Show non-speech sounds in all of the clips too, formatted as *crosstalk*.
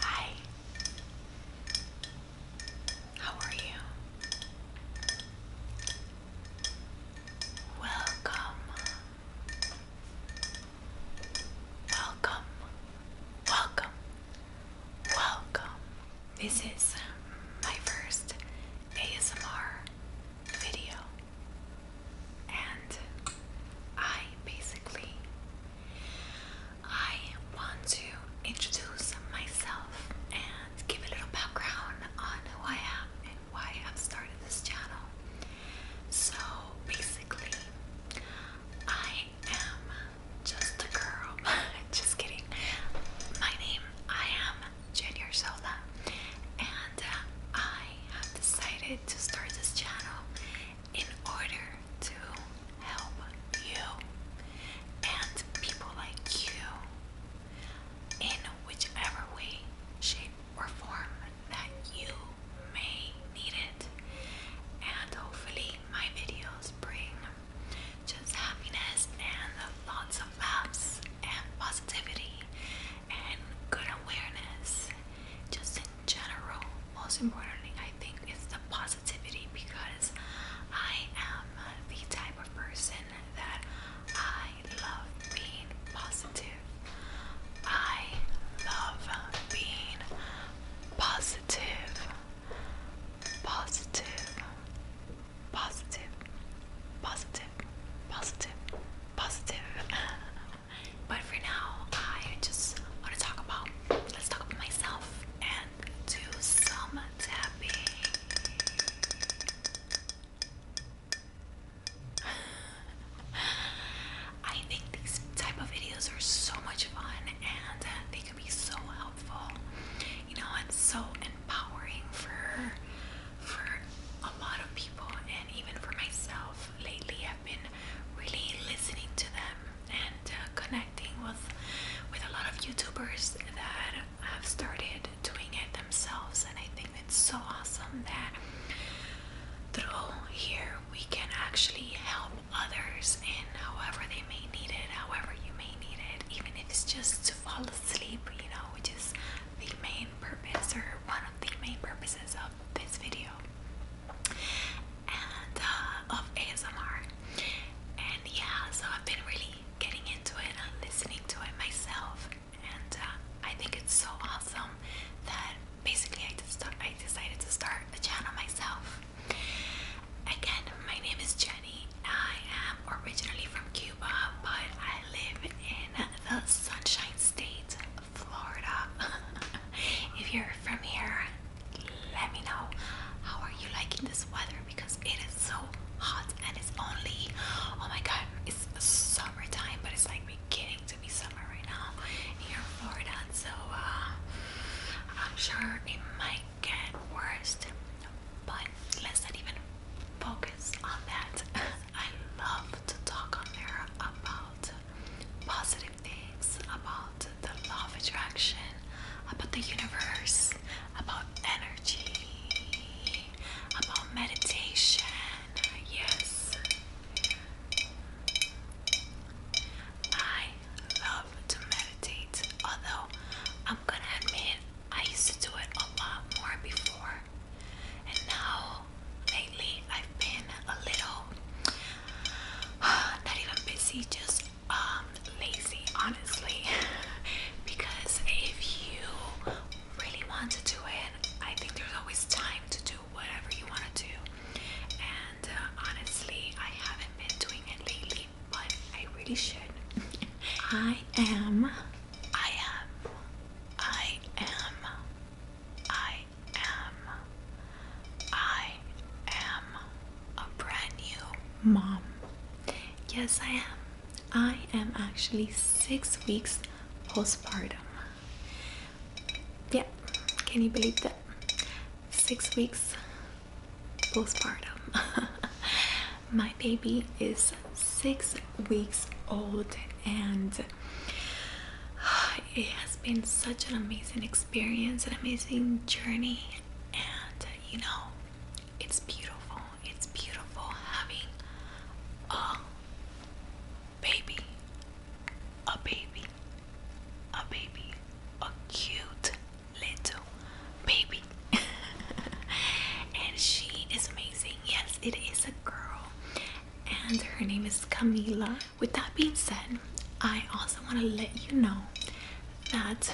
Hi. How are you? Welcome. Welcome. Welcome. Welcome. This is my first ASMR video. And I basically I want to introduce myself and give a little background on who I am and why I've started this channel. So basically, I am just a girl. *laughs* just kidding. My name, I am Jenny Arzola, and I have decided to start this channel in order to help you and people like you in whichever way, shape, or form that you may need it. And hopefully, my videos bring just happiness and lots of laughs and positivity and good awareness, just in general. Most importantly, I think it's the positive positivity because I am the type of person that I love being positive. I love being positive, positive, positive, positive, positive, positive. *laughs* but for now, I just want to talk about let's talk about myself and do some tapping. *sighs* I think these type of videos are so much fun and they can be so helpful. You know, it's so empowering for for a lot of people and even for myself. Lately I've been really listening to them and uh, connecting with with a lot of YouTubers that have started doing it themselves and I think it's so awesome that through here we can actually help others in however they may need it, however you may need it, even if it's just to fall asleep, you know, which is the main purpose or one of the main purposes of this video and uh, of ASMR. And yeah, so I've been really getting into it and listening to it myself, and uh, I think it's so awesome that basically I just I decided to start a channel myself. Again, my name is Jenny. I am originally from Cuba, but I live in the Sunshine State, Florida. *laughs* if you're from here, let me know how are you liking this weather because it is so hot and it's only oh my god it's summertime but it's like beginning to be summer right now here in Florida so uh, I'm sure it might get worse but let's not even focus on that. *laughs* I love to talk on there about positive things about the law of attraction, about the universe, about energy, about meditation. Yes. I love to meditate, although I'm gonna admit I used to do it a lot more before, and now lately I've been a little *sighs* not even busy, just um lazy, honestly. *laughs* because if you really want to do it, I think there's always time to do whatever you want to do. And uh, honestly, I haven't been doing it lately, but I really should. *laughs* I am, I am, I am, I I am a brand new mom. Yes, I am. I am actually six weeks postpartum. Yeah, can you believe that? Six weeks postpartum. *laughs* My baby is six weeks old and *sighs* it has been such an amazing experience, an amazing journey, and you know, it's beautiful. It's beautiful having a baby, a baby, a baby, a cute little baby. *laughs* and she is amazing. Yes, it is a girl, and her name is Camila with that being said i also want to let you know that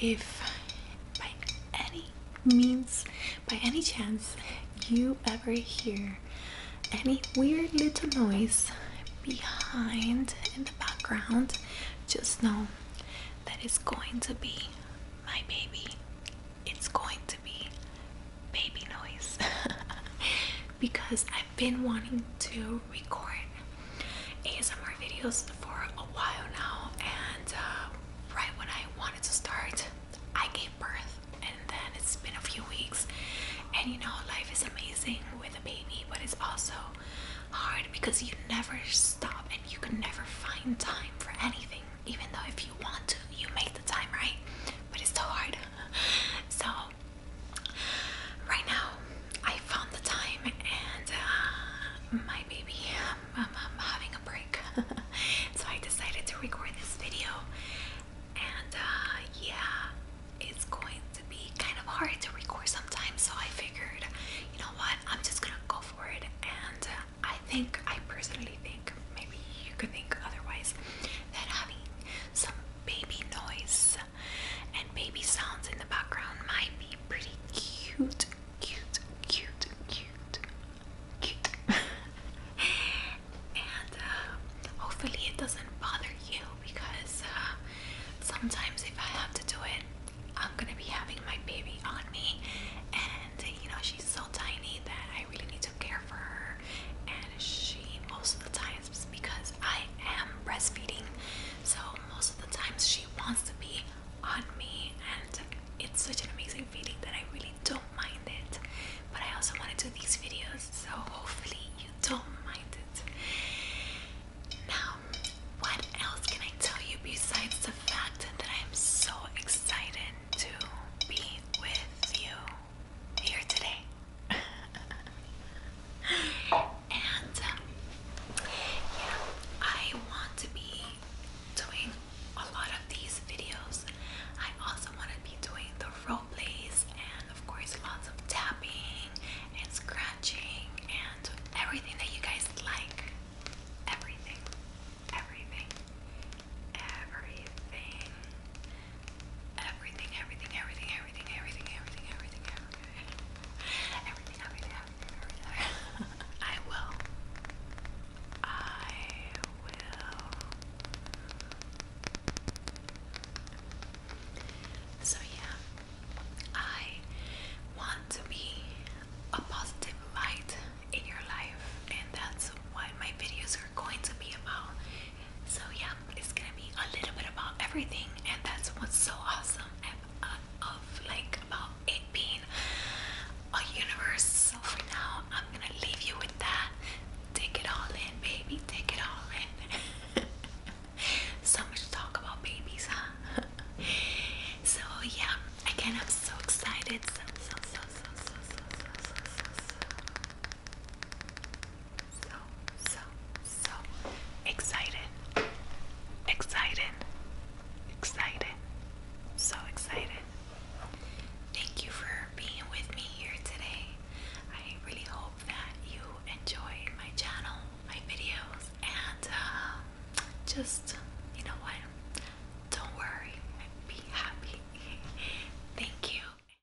if by any means by any chance you ever hear any weird little noise behind in the background just know that it's going to be my baby it's going to be baby noise *laughs* because I've been wanting to record ASMR videos for a while now, and uh, right when I wanted to start, I gave birth, and then it's been a few weeks. And you know, life is amazing with a baby, but it's also hard because you never stop and you can never find time for anything, even though if you want to, you make the time, right? But it's *laughs* so hard. So right now I found the time and uh, my baby, i I'm, having a break. *laughs* so I decided to record this video and uh, yeah, it's going to be kind of hard to record sometimes. So I figured, you know what, I'm just gonna go for it. And uh, I think, I personally think, maybe you could think otherwise, that having some baby noise and baby sounds in the background might be pretty cute, cute, cute, cute, cute. *laughs* and uh, hopefully it doesn't bother you because uh, sometimes if I have to do it, I'm gonna be having my baby on me, and you know she's so tiny that I really need to care for her, and she most of the time because I am breastfeeding. So most of the times she wants to be on me and it's such an amazing feeling that I really don't mind it. But I also want to do these videos so hopefully you don't mind it. Now, what else can I tell you besides the fact that I'm so excited to be with you? here today. *laughs* and um, yeah, I want to be doing a lot of these videos. I also want to be doing the role plays and, of course, lots of tapping and scratching and everything that you guys like. Everything, everything, everything. Everything, everything, everything, everything, everything, everything, everything, everything, everything, everything, I will. I will. So yeah, I want to be a positive light in your life, and that's what my videos are going to be about. So yeah, it's gonna be a little bit about everything, and that's what's so awesome uh, of, like about it being a universe. So for now, I'm gonna leave you with that. Take it all in, baby. Take it all in. *laughs* so much to talk about babies, huh? *laughs* so yeah, again, I'm so excited. So, so, so excited. Excited. Excited. So excited. Thank you for being with me here today. I really hope that you enjoy my channel, my videos, and uh, just, you know what? Don't worry. Be happy. *laughs* Thank you.